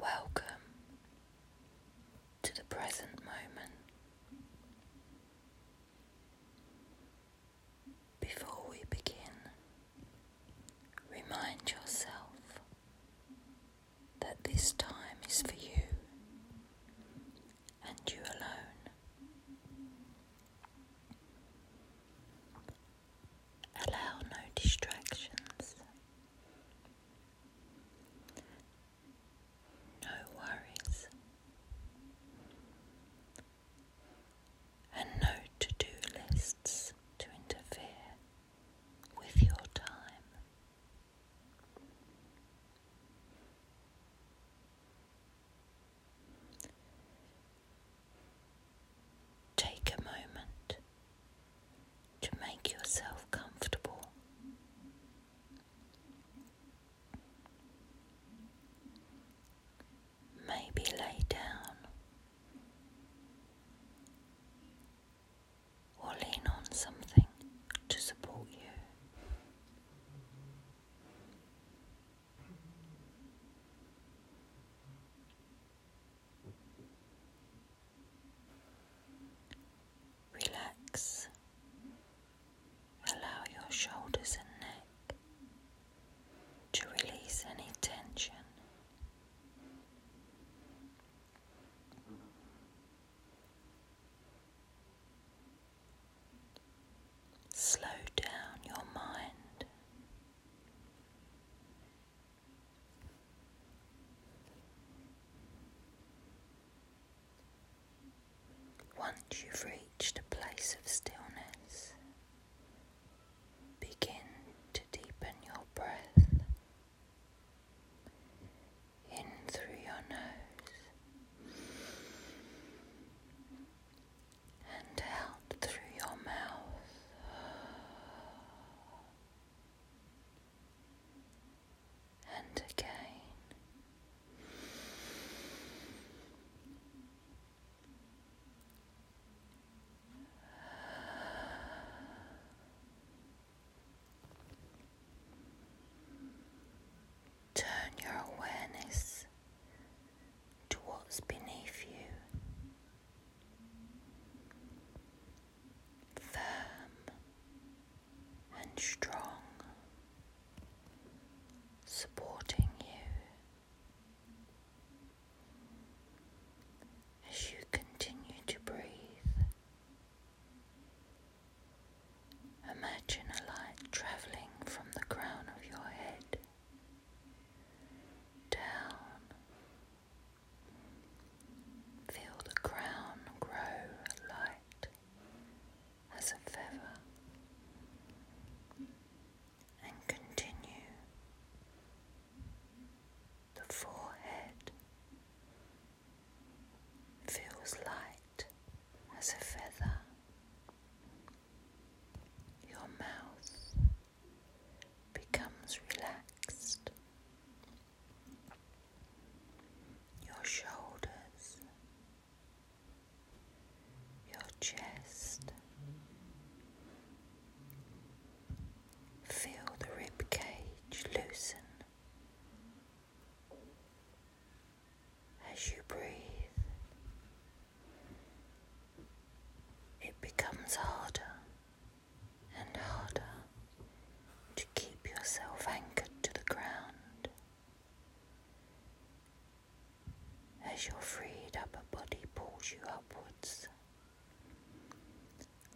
Welcome to the present moment. Before we begin, remind yourself that this time is for you and you alone. Allow no distractions, no worries, and no to do lists to interfere with your time. Take a moment to make yourself comfortable. Maybe lay down or lean on something to support you. Relax, allow your shoulders and neck to release any tension Slow down your mind. Once you've reached a place of stillness, Begin to deepen your breath in through your nose and out through your mouth. And again, Turn your awareness to what's beneath you. Firm and strong, supporting you as you continue to breathe, imagine a light travelling from the crown of your head down. Feel the crown grow light as a feather and continue the forehead feels light as a feather your mouth becomes relaxed your shoulders your chest. Feel the rib cage loosen as you breathe. It becomes harder and harder to keep yourself anchored to the ground. As your freed upper body pulls you upwards,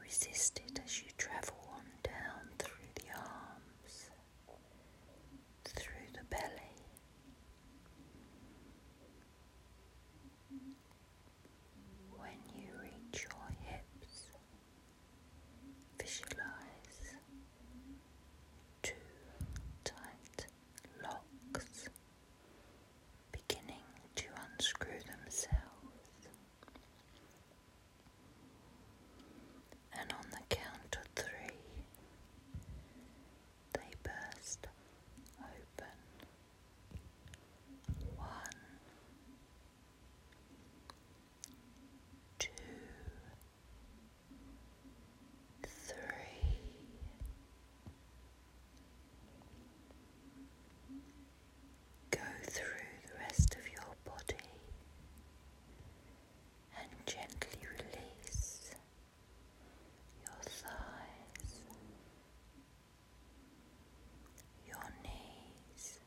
resist it as you travel on down through the arms, through the belly. When you reach your hips, Visualize two tight locks beginning to unscrew themselves. And on the count of three, they burst open. One, two, three, go through the rest of your body and gently release your thighs, your knees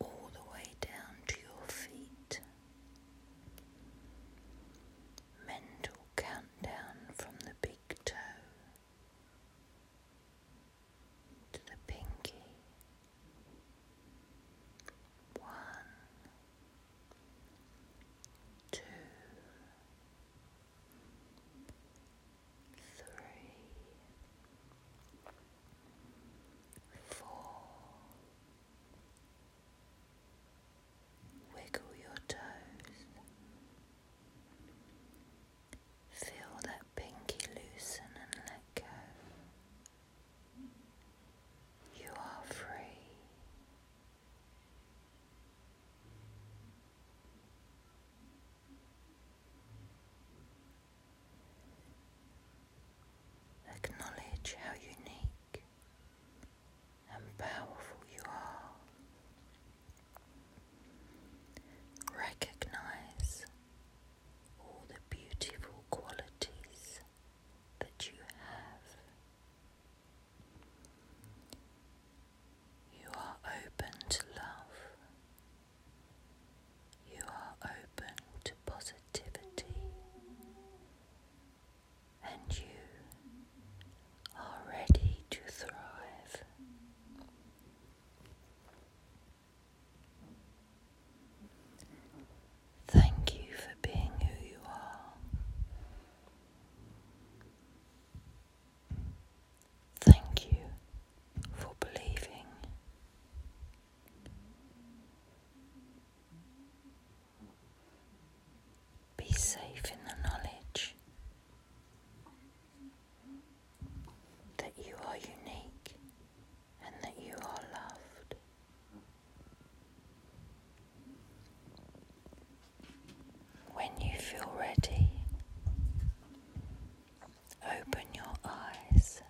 all the way down to your feet. Mental countdown from the big toe to the pinky. One, two, three, four. Wiggle your toes. Feel that pinky loosen and let go. You are free. Acknowledge how unique and powerful you are. Recognize all the beautiful qualities that you have. You are open to love. You are open to positivity. And you are ready to thrive. Thank you for being who you are. Thank you for believing. Be safe in the knowledge that you are unique and that you are loved. When you feel ready, open your eyes.